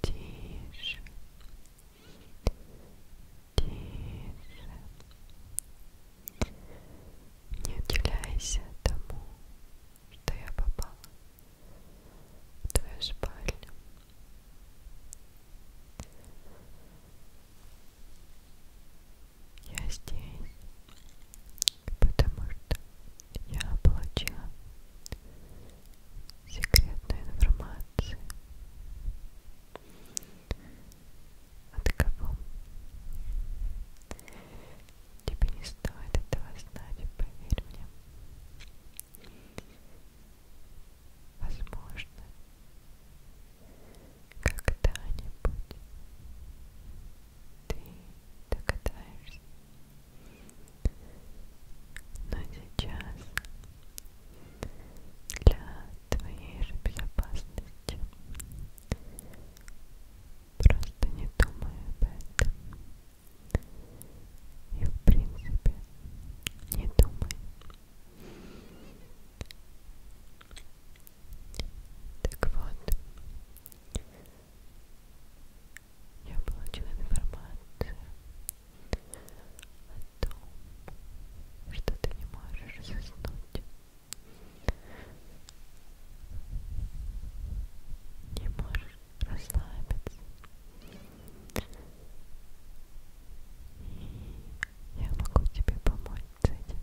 тише, тише. Не удивляйся тому, что я попала в твою спальню. Я здесь, потому что я получила секретную информацию. От кого? Тебе не стоит этого знать, поверь мне. Возможно, когда-нибудь ты догадаешься. Но сейчас для твоей же безопасности просто не думай об этом. И в принципе не думай. Так вот, я получила информацию о том, что ты не можешь заснуть. Не можешь расслабиться. И я могу тебе помочь с этим.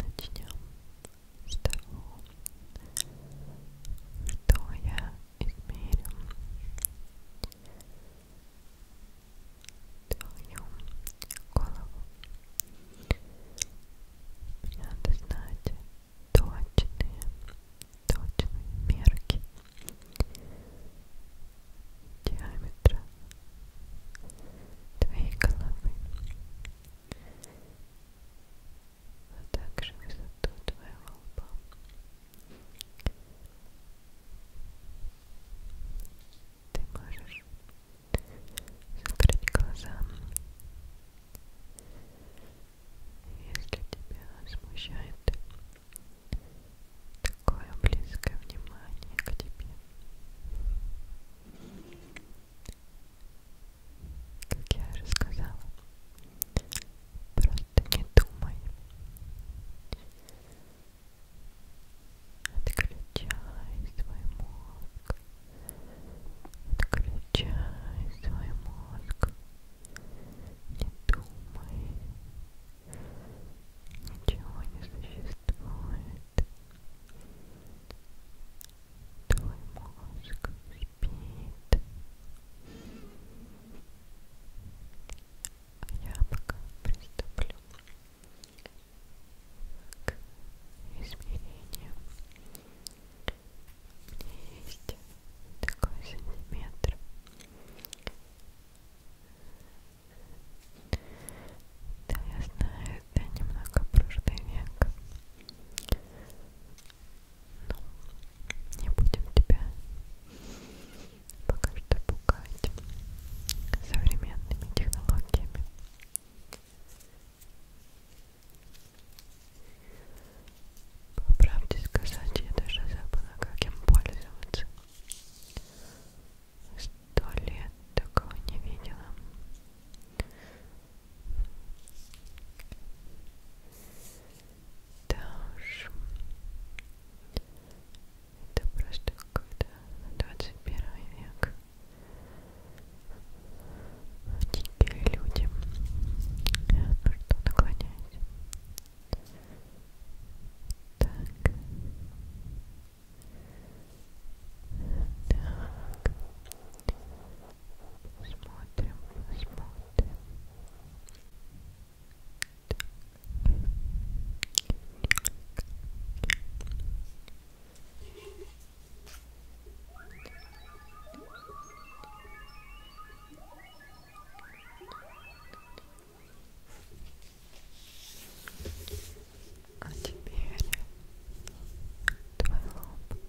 Начнем с того, что я измерю твою голову. Мне надо знать точные, точные мерки диаметра твоей головы а также высоту твоего лба. Ты можешь закрыть глаза, если тебя смущает такое близкое внимание к тебе. Как я уже сказала, просто не думай. Отключай свой мозг. Отключай свой мозг. Не думай. Ничего не существует. Твой мозг спит. А я пока приступлю к измерению. У меня есть такой сантиметр. Да, я знаю, это немного прошлый век. Но ну, не будем тебя пока что пугать современными технологиями. По правде сказать, я даже забыла, как им пользоваться. Сто лет такого не видела. Даш. Это просто какой-то 21 век. Дикие люди. Ну что, наклоняйся. Так. Так. Смотрим, смотрим. А теперь твой лоб.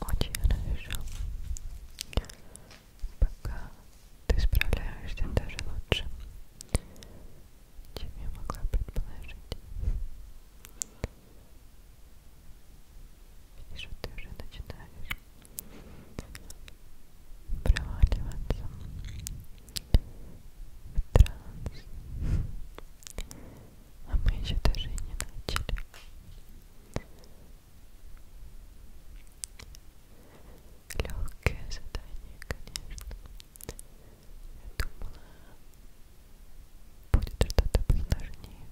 Очень хорошо. Пока ты справляешься даже лучше, чем я могла предположить. Вижу, ты уже начинаешь проваливаться в транс. А мы еще даже и не начали. Легкое задание, конечно. Я думала, будет что-то посложнее.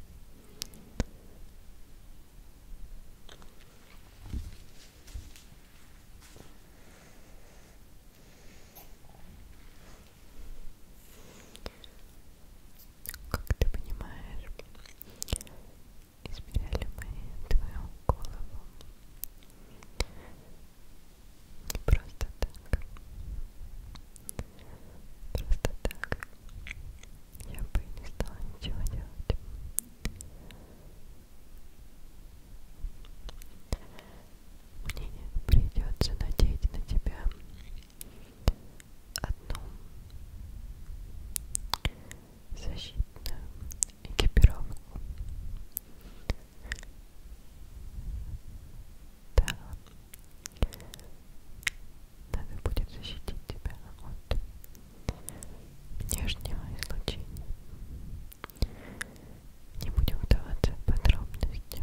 Как ты понимаешь, измеряли мы твою голову не просто так. Просто так я бы не стала ничего делать. Мне придется надеть на тебя одну защитную экипировку. Да, надо будет защитить тебя от внешнего излучения. Не будем вдаваться в подробности.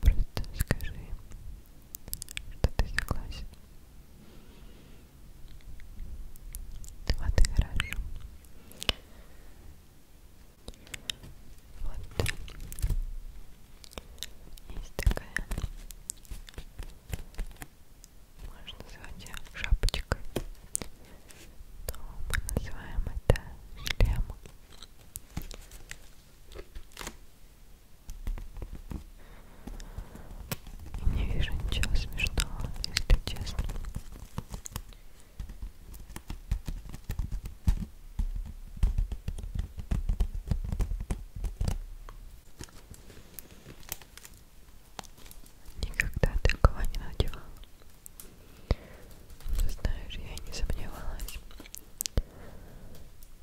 Просто скажи, что ты согласен. Вот и хорошо. Вот. Есть такая. Можно назвать ее шапочкой. Но мы называем это шлем. И не вижу ничего смешного, если честно. Никогда такого не надевала. Ну, знаешь, я не сомневалась.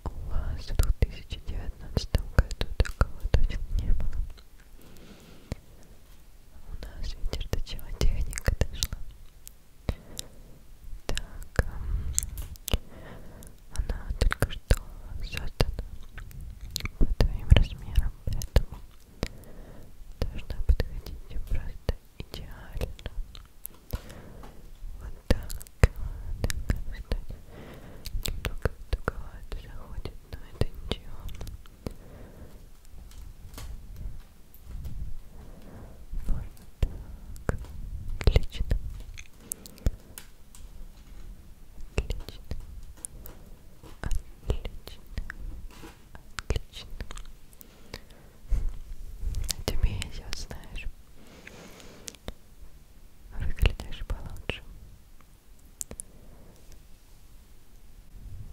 У вас в 2019 году такого точно не было. У нас ветер до чего техника дошла. Так, она только что создана по твоим размерам, поэтому должна подходить просто идеально. Вот так. Так, кстати, немного туговато заходит, но это ничего. Вот так. Отлично. Отлично. Отлично. Отлично. Тебе я знаешь. Выглядишь получше.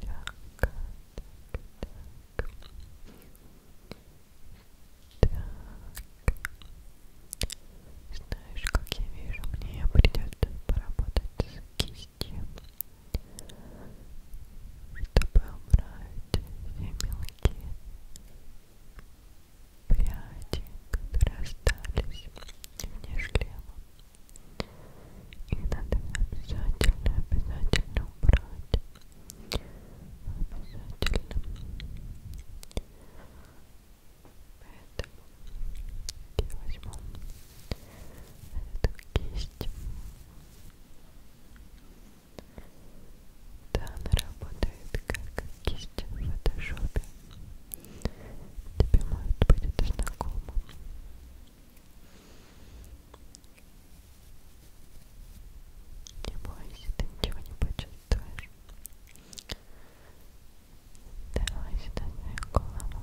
Так, так, так. Так. Знаешь, как я вижу, мне придется поработать с кистью чтобы убрать все мелкие пряди, которые остались вне шлема. Их надо обязательно, обязательно убрать. Обязательно. Поэтому я возьму эту кисть. И да, она работает как кисть в фотошопе. Тебе может быть это знакомо. Не бойся, ты ничего не почувствуешь. Давай сюда свою голову.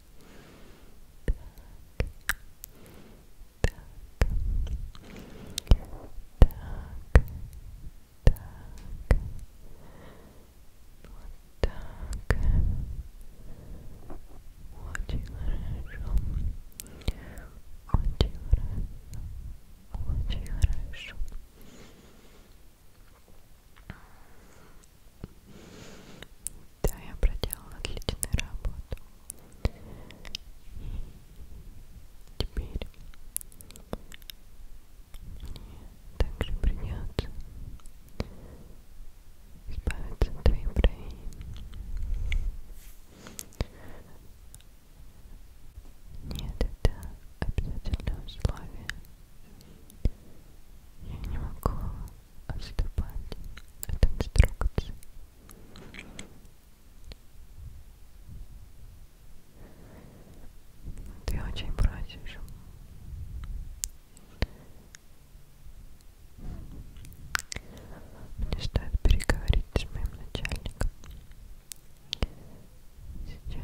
так очень хорошо очень хорошо очень хорошо да, я проделала отличную работу. Теперь мне также придется избавиться от твоих бровей. Нет, это обязательное условие. Я не могу отступать от инструкции. Ты очень просишь. Мне стоит переговорить с моим начальником. Сейчас.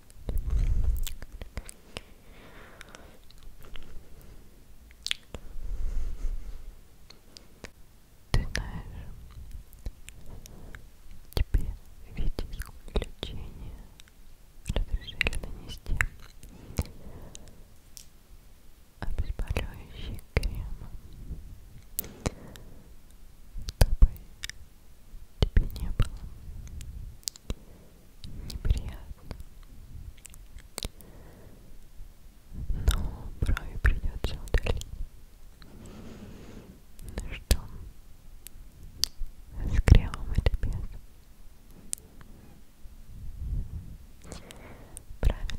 Ты знаешь, тебе ведь исключение разрешили нанести обезболивающий крем, чтобы тебе не было неприятно. Но брови придется удалить. Ну что, с кремом или без? Правильно.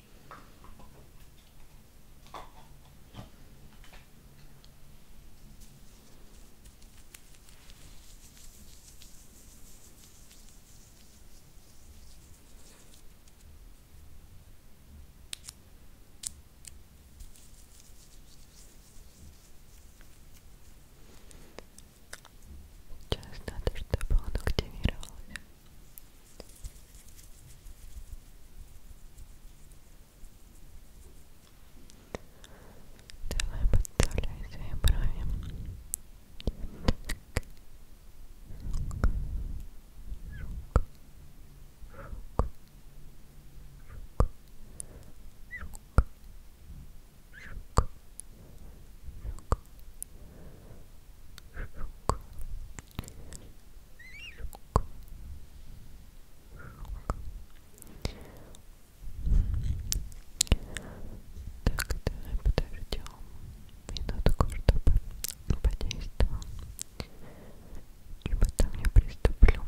Сейчас надо, чтобы он активировался. Давай подставляй свои брови. Так. Шук. Шук. Шук. Шук. Шук. Шук. Шук. Шук. Шук. Шук. Так, давай подождем минутку, чтобы подействовал. И потом я приступлю. Так,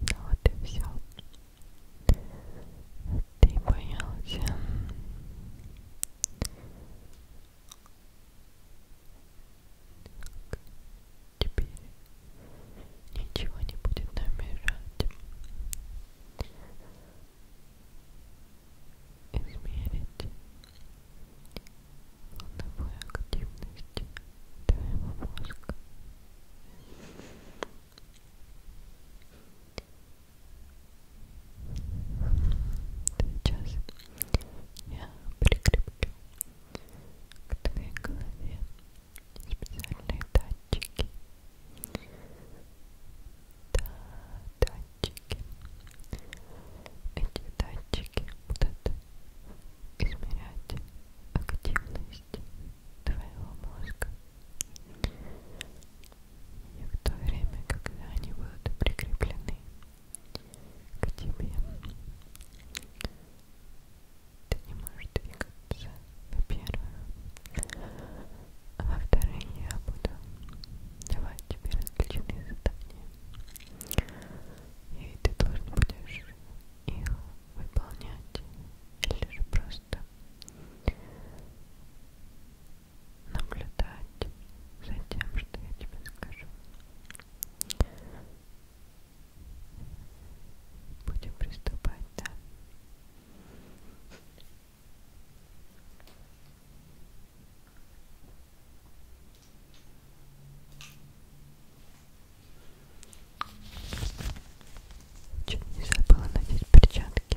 Ну вот и все. Ты боялся. Так. Теперь ничего не будет намешать измерить волновую активность твоего мозга. Сейчас я прикреплю к твоей голове специальные датчики да, датчики. Эти датчики будут измерять активность твоего мозга. И в то время, когда они будут прикреплены к тебе, ты не можешь двигаться, во-первых. А во второй я буду давать тебе различные задания. И ты должен будешь их выполнять. Или же просто наблюдать за тем, что я тебе скажу. Будем приступать, да? Чуть не забыла надеть перчатки.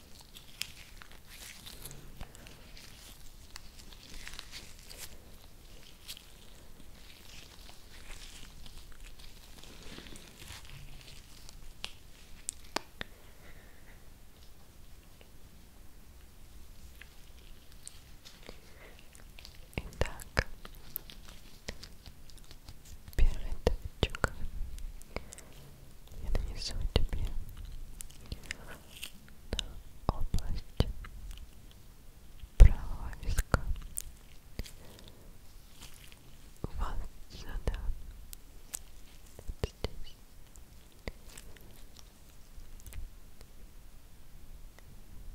Итак, первый точек я нанесу тебе на область правого виска вот сюда вот здесь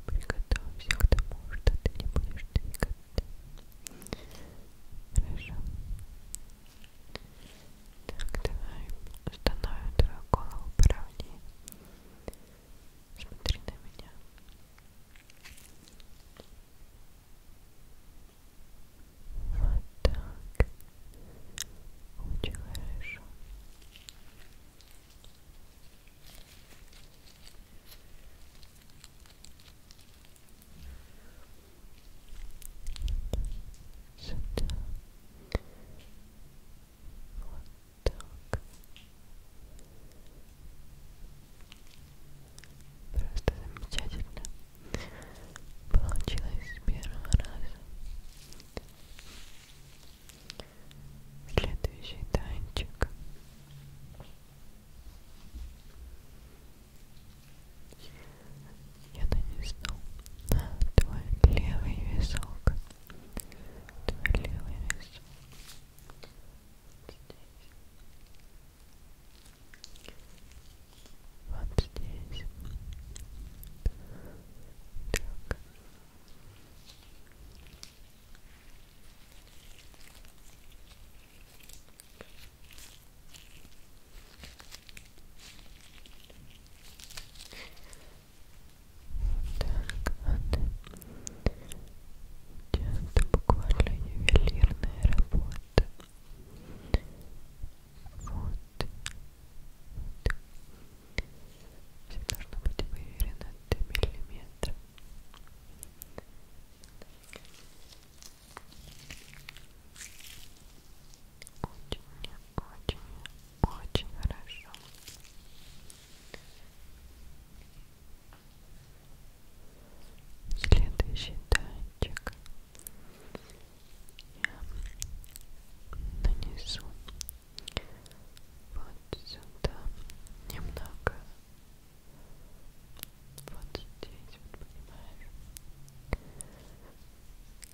приготовься к тому, что ты не будешь двигаться хорошо так, давай установим твою голову поровнее. Смотри на меня. Вот так. Очень хорошо сюда вот так просто замечательно получилось с первого раза следующий танчик я-то не знал. Твой левый висок. Твой левый висок. Здесь. Вот здесь. Так. Здесь. Так, вот. Это буквально ювелирная работа. Вот. Все должно быть выверено до миллиметра. Так очень, очень, очень хорошо. Следующий датчик я нанесу вот сюда немного. Вот здесь, вот понимаешь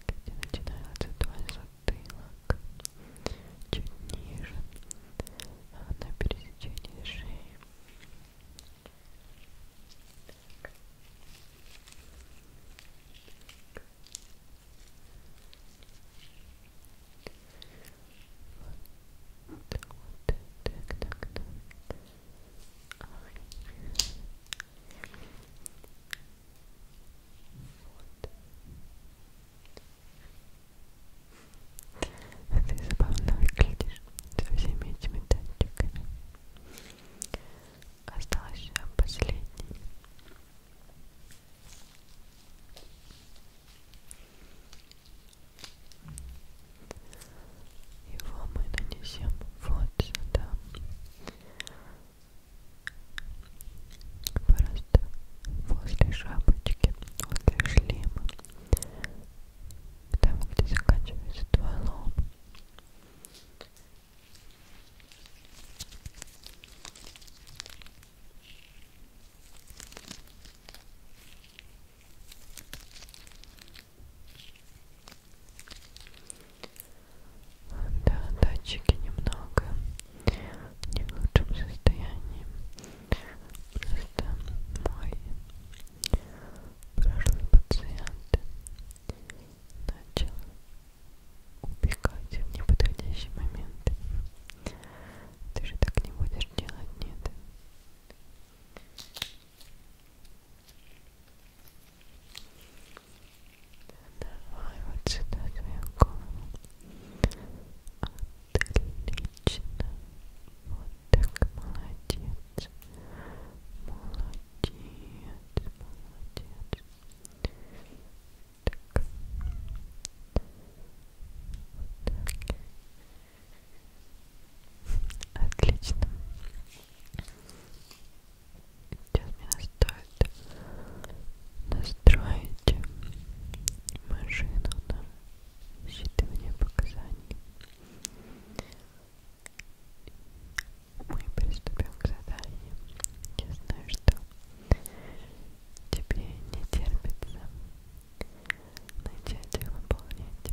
где начинается вдоль затылок, чуть ниже, а на пересечении шеи. Так. Вот, так, вот, так, так, так. Ай. Вот. Ты забавно выглядишь со всеми этими датчиками. Осталось последний. Его мы нанесем вот сюда. Просто возле шапочки, возле шлема, там, где заканчивается твой лоб. Да, датчики немного не в лучшем состоянии. Просто мой прошлый пациент начал убегать в неподходящий момент. Ты же так не будешь делать, нет? Давай вот сюда твою голову. Отлично. Вот так, молодец. Молодец, молодец. Так. Вот так. Отлично. Сейчас мне стоит настроить машину на считывание показаний. Мы приступим к заданию. Я знаю, что тебе не терпится начать их выполнять.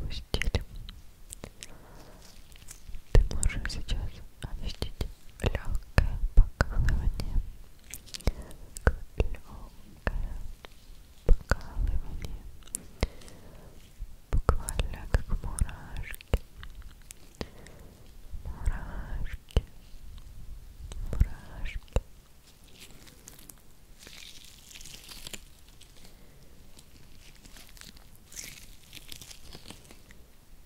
Запустили. Ты можешь сейчас ощутить легкое покалывание. Легкое покалывание. Буквально как мурашки. Мурашки. Мурашки.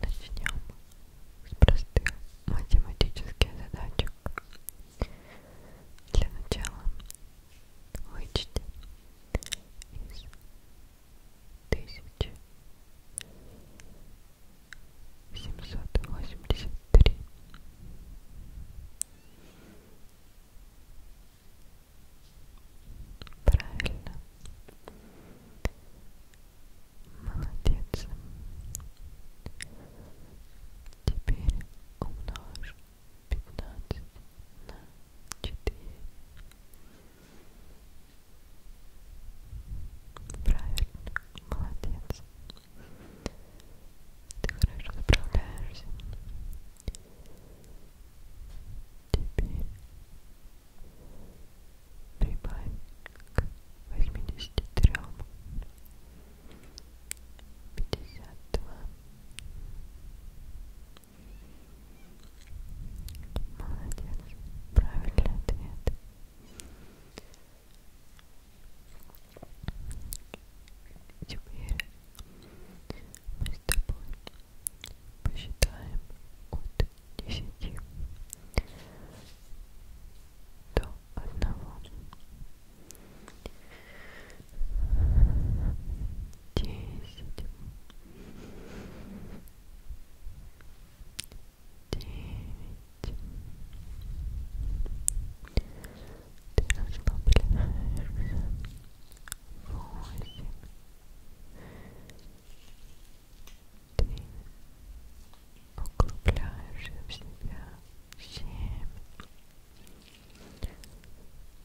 Начнем с простых математических задачек. Для начала вычти из тысячи семьсот восемьдесят три правильно молодец теперь умножь пятнадцать на четыре Правильно, молодец. Ты хорошо справляешься. Теперь прибавь к восьмидесяти трем. Пятьдесят два. Молодец. Правильный ответ. Теперь мы с тобой посчитаем от десяти до одного. Десять, девять. Ты расслабляешься. Восемь. Ты углубляешься в себя. Семь.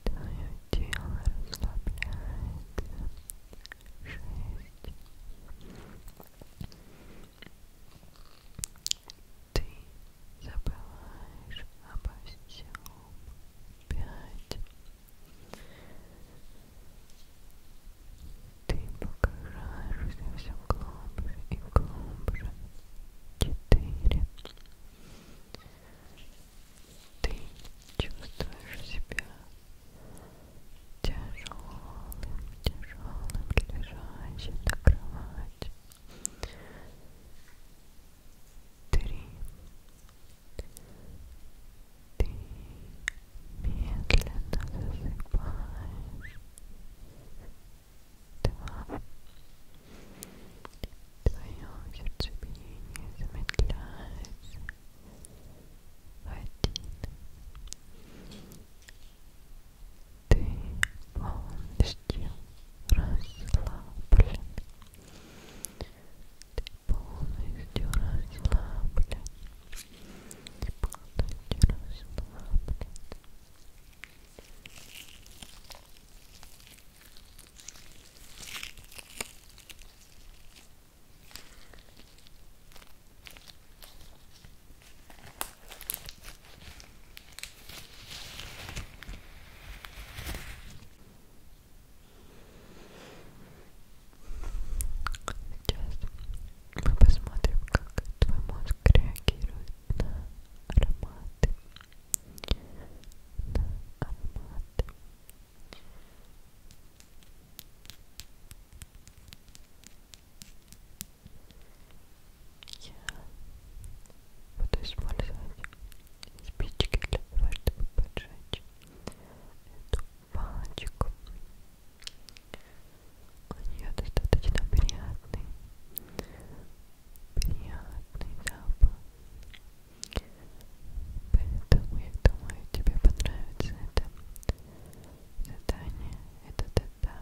Твое тело расслабляется. Шесть. Ты забываешь обо всем. Пять. Ты погружаешься все глубже и глубже. Четыре. Ты чувствуешь себя тяжелым, тяжелым лежащим на кровати. Три. Ты медленно засыпаешь. Два. Твое сердцебиение замедляется. Один. Ты полностью расслаблен. Ты полностью расслаблен. Ты полностью расслаблен. Сейчас мы посмотрим, как твой мозг реагирует на ароматы. На ароматы. Ароматы. Я буду использовать спички для того, чтобы поджечь эту палочку. У нее достаточно приятный, приятный запах. Поэтому я думаю, тебе понравится эта задание, этот этап.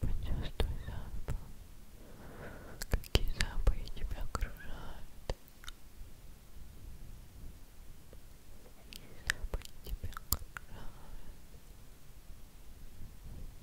Почувствуй запах. Какие запахи тебя окружают? Какие запахи тебя окружают?